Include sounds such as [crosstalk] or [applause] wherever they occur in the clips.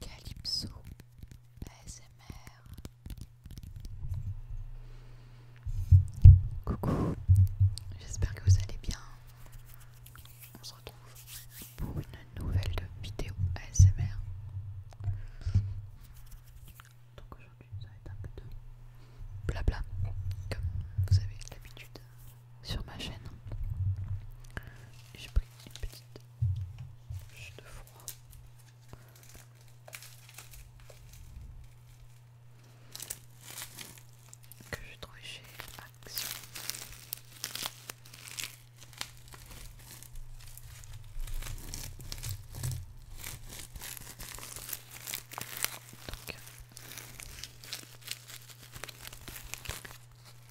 Calypso ASMR Coucou, j'espère que vous allez bien. On se retrouve pour une nouvelle vidéo ASMR. Donc aujourd'hui ça va être un peu de blabla, comme vous avez l'habitude sur ma chaîne. J'ai pris une petite bouche de froid. Que j'ai trouvé chez Action.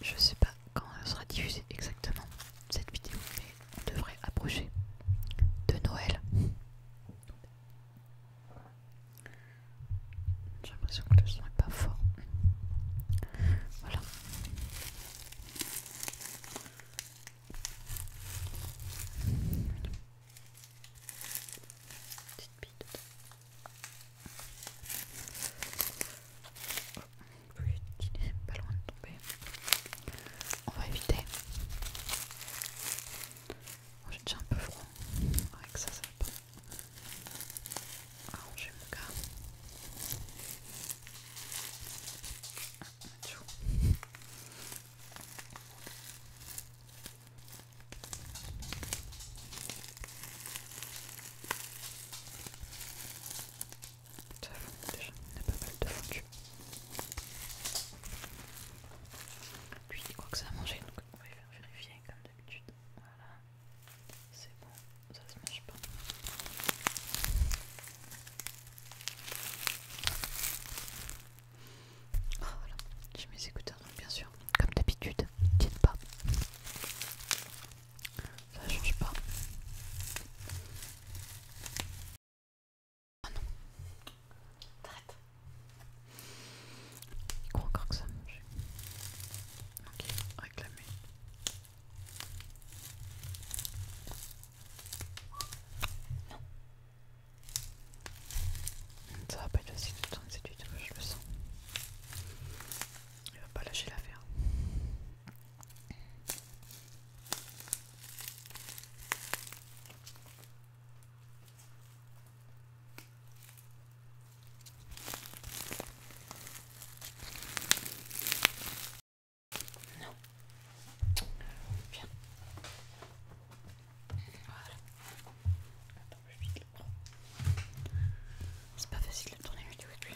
Je sais pas quand sera diffusée exactement cette vidéo, mais on devrait approcher de Noël. J'ai l'impression que le son est pas fort. Voilà. Petite bite pas loin de tomber. On va éviter. Oh, J'ai déjà un peu froid. Avec ça, ça va pas. Arranger ah, mon gars. Ah, ça fond déjà, il y a pas mal de foutus. Puis il croit que ça a mangé, donc on va faire vérifier comme d'habitude. Voilà, c'est bon, ça se mange pas. Ah voilà, j'ai mes écouteurs bien sûr, comme d'habitude, t'inquiète pas. Ça change pas. Oh non. T'arrêtes Il croit encore que ça mange. Ok, réclamer. Non. Ça va pas être tout de temps cette je le sens. Il va pas lâcher l'affaire. Non. Bien. Voilà. C'est pas facile de tourner vidéo avec lui.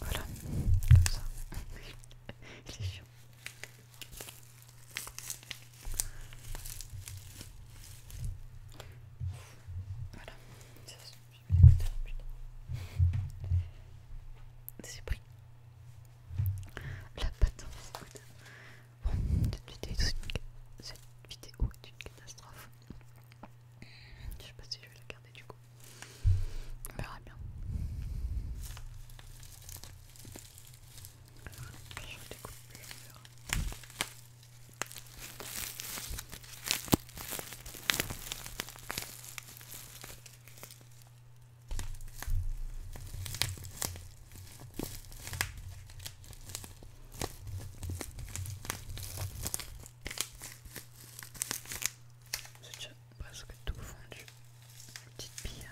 Voilà, comme ça. [laughs] Voilà, C'est pris. La patte. Hein, bon, cette vidéo, est une catastrophe. Je sais pas si je vais la garder du coup. On verra bien. Je c'est déjà presque tout fondu. du petite pille.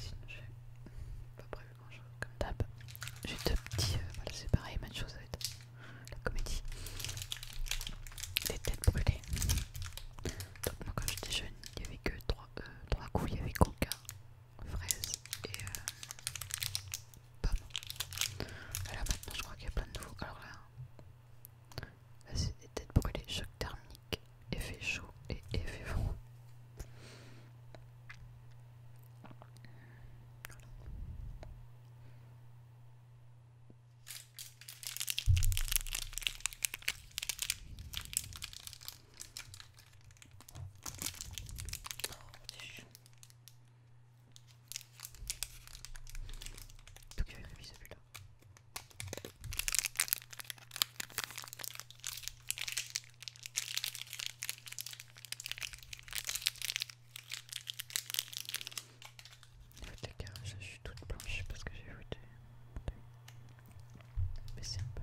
Sinon, j'ai pas prévu grand chose comme d'hab. J'ai deux petits. Euh, voilà, c'est pareil, même chose avec la comédie. Les têtes brûlées. Donc, moi, quand j'étais jeune, il n'y avait que trois, euh, trois coups il y avait coca, fraises et euh, pommes. Alors Et maintenant, je crois qu'il y a plein de nouveaux. Alors là, c'est des têtes brûlées, choc thermique, effet chaud et effet froid. Donc j'avais révisé celui-là. Les carrés, je suis toute blanche parce que j'ai voté. Baisser un peu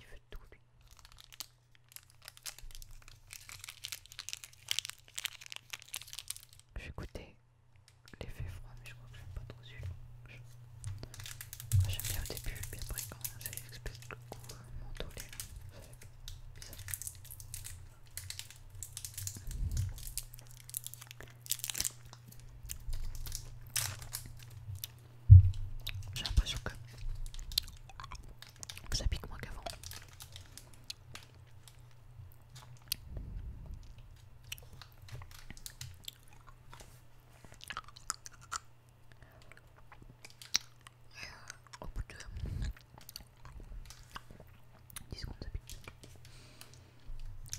Il veut tout lui. J'ai goûté l'effet froid, mais je crois que j'aime pas trop celui-là. J'aime bien au début, puis après quand c'est l'espèce le coup. Mon mentholé là, ça fait bizarre. J'ai l'impression que ça pique moins qu'avant. Au bout de 10 secondes, ça pique.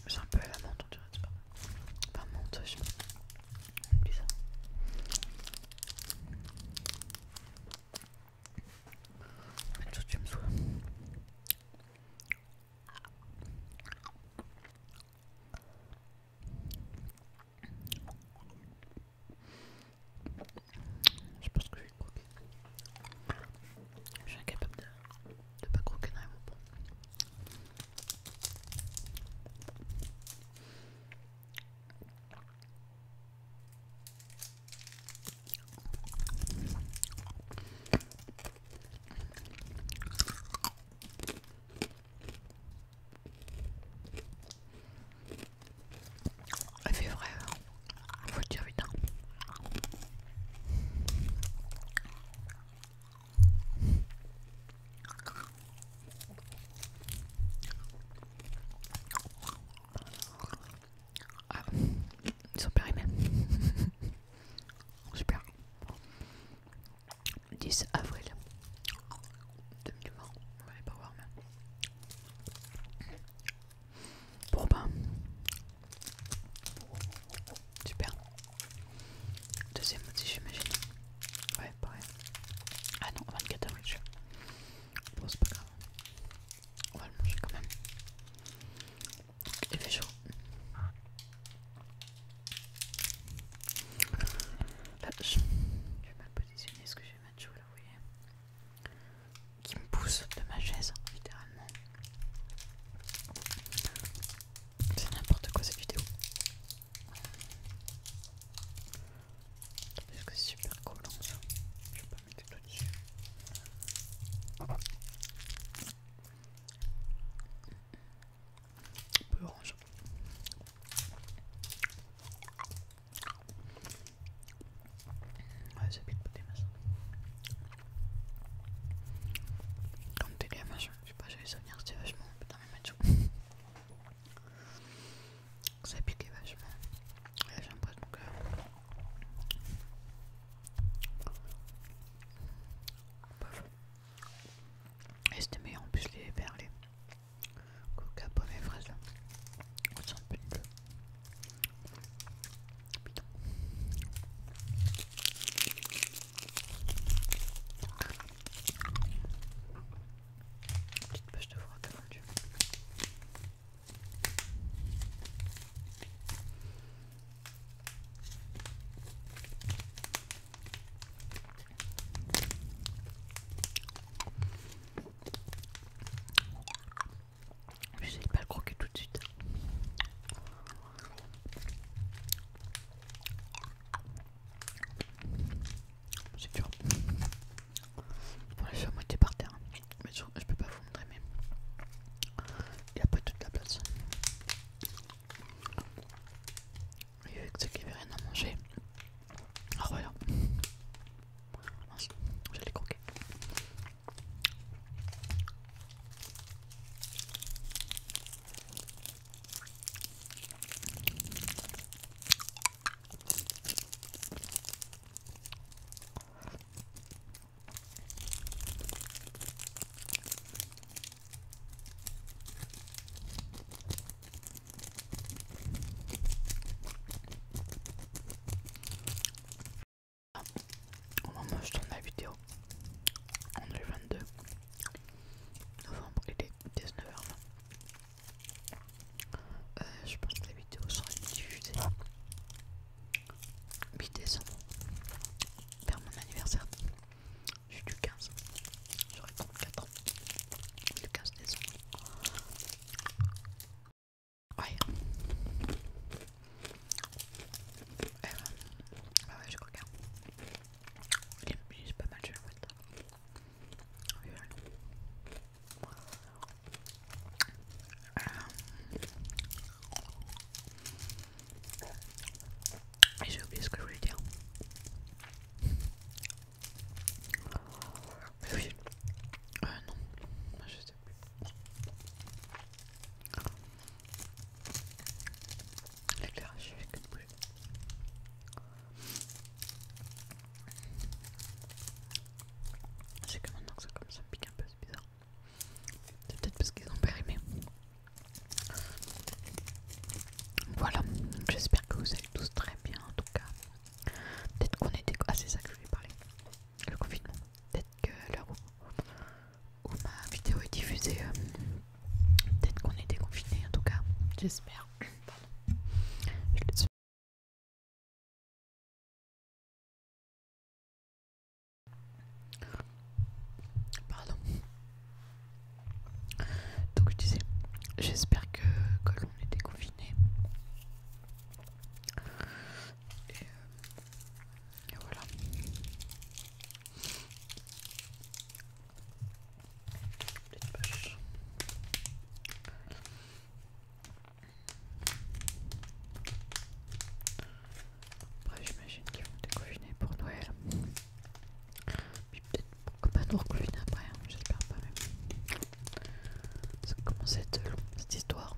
J'ai un peu la menthe, on dirait. enfin, menthe, je me Je pense que j'ai croqué Je suis incapable de pas croquer dans mon bonbons. Elle fait vrai, hein. faut le dire vite hein. Ah, ils sont périmés. Super. 10 avril 2020. On va les pas voir, mais. Bon, ben. Super. Deuxième motif, j'imagine. Ouais, pareil. Ah non, 24 h Bon, c'est pas grave. On va le manger quand même. Il fait chaud. Là, je vais mal positionner ce que je vais mettre chaud là, vous voyez. Qui me pousse de ma chaise, littéralement. C'est n'importe quoi cette vidéo. Parce que c'est super collant hein, ça. Je vais pas mettre tout dessus. Un peu orange. Ouais, c'est pas des Comme des gamins, je sais pas, j'avais les souvenirs, c'était vachement dans mes mains matchs. Ça piquait vachement. Là, j'ai Pas que. Et c'était meilleur en plus les verres, les coca, pommes et fraises là. Ils sont plus bleus. Putain. Petite poche de froid comme tu J'essaye de pas le croquer tout de suite. C'est dur. Pour les fait moitié par terre. Mais je, ne peux pas vous montrer, mais il n'y a pas toute la place. Et que ceux qui avait rien à manger. Ah voilà. vais les croquer. Au moment où je tourne la vidéo, on est 22 novembre, il est 19h20. Euh, je pense que la vidéo sera diffusée mi-décembre, vers mon anniversaire. Je suis du 15, j'aurais 34 ans, du 15 décembre. Ouais. Ah je j'ai pas mal, euh. j'ai oublié ce que je voulais dire. Euh, non, je sais plus. L'éclairage est que bleu. C'est que maintenant que ça comme ça me pique un peu, c'est bizarre. C'est peut-être parce qu'ils ont périmé. Voilà, j'espère que vous allez tous très bien en tout cas. Peut-être qu'on était. Ah, c'est ça que je voulais parler. Le confinement. Peut-être que l'heure où où ma vidéo est diffusée. Euh, peut-être qu'on est déconfiné en tout cas, j'espère. Pardon. Donc je disais, j'espère que, l'on est déconfiné. Et, euh, et voilà. Après j'imagine qu'ils vont découvrir pour Noël. Puis peut-être pourquoi pas nous reconfiner après, hein, j'espère pas même. Ça commence à être long cette histoire.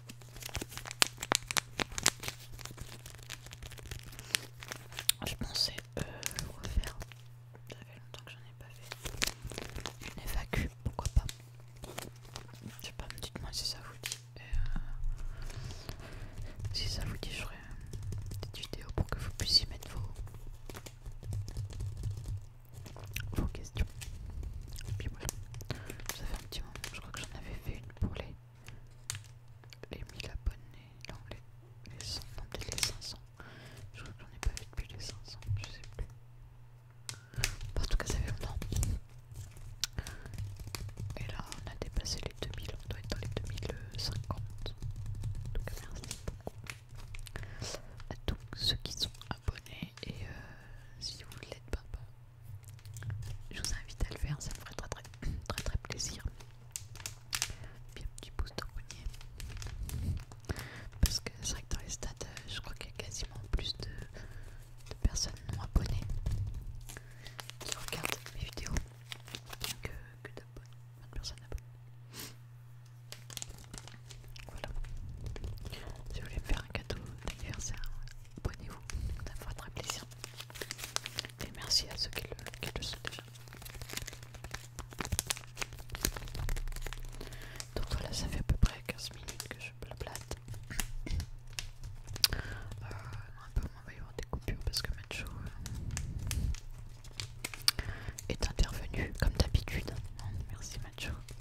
Je pensais euh, refaire, Ça fait longtemps que j'en ai pas fait. Une évacu, pourquoi pas. Je sais pas, me dites-moi si ça vous dit. Euh, si ça vous dit, je ferai une petite vidéo pour que vous puissiez mettre vos, vos questions. Et puis voilà, ça fait un petit je crois que j'en avais fait une pour les, 1000 abonnés, non, les, 100, les 500, je crois que j'en ai pas vu depuis les 500, je sais plus. en tout cas, ça fait longtemps. Et là, on a dépassé les 2000, on doit être dans les 2050. cas, merci à tous ceux qui sont abonnés. Et euh, si vous ne l'êtes pas, bah, je vous invite à le faire, ça me ferait très très [coughs] très très plaisir. Puis un petit pouce d'engrenier. Parce que c'est vrai que dans les stades, euh, je crois qu'il y a quasiment plus de, personnes non abonnées qui regardent mes vidéos que, que personnes abonnées. Voilà. Si vous me faire un cadeau d'anniversaire, abonnez-vous, ça fera très plaisir. Et merci à ceux qui le, sont déjà. Donc voilà, ça fait à peu près 15 minutes que je blablate. Euh, un peu moins, il va y avoir des coupures parce que Macho euh, est intervenu comme d'habitude. Merci Macho.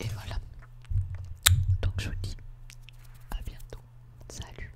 Et voilà. Donc je vous dis à bientôt. Salut.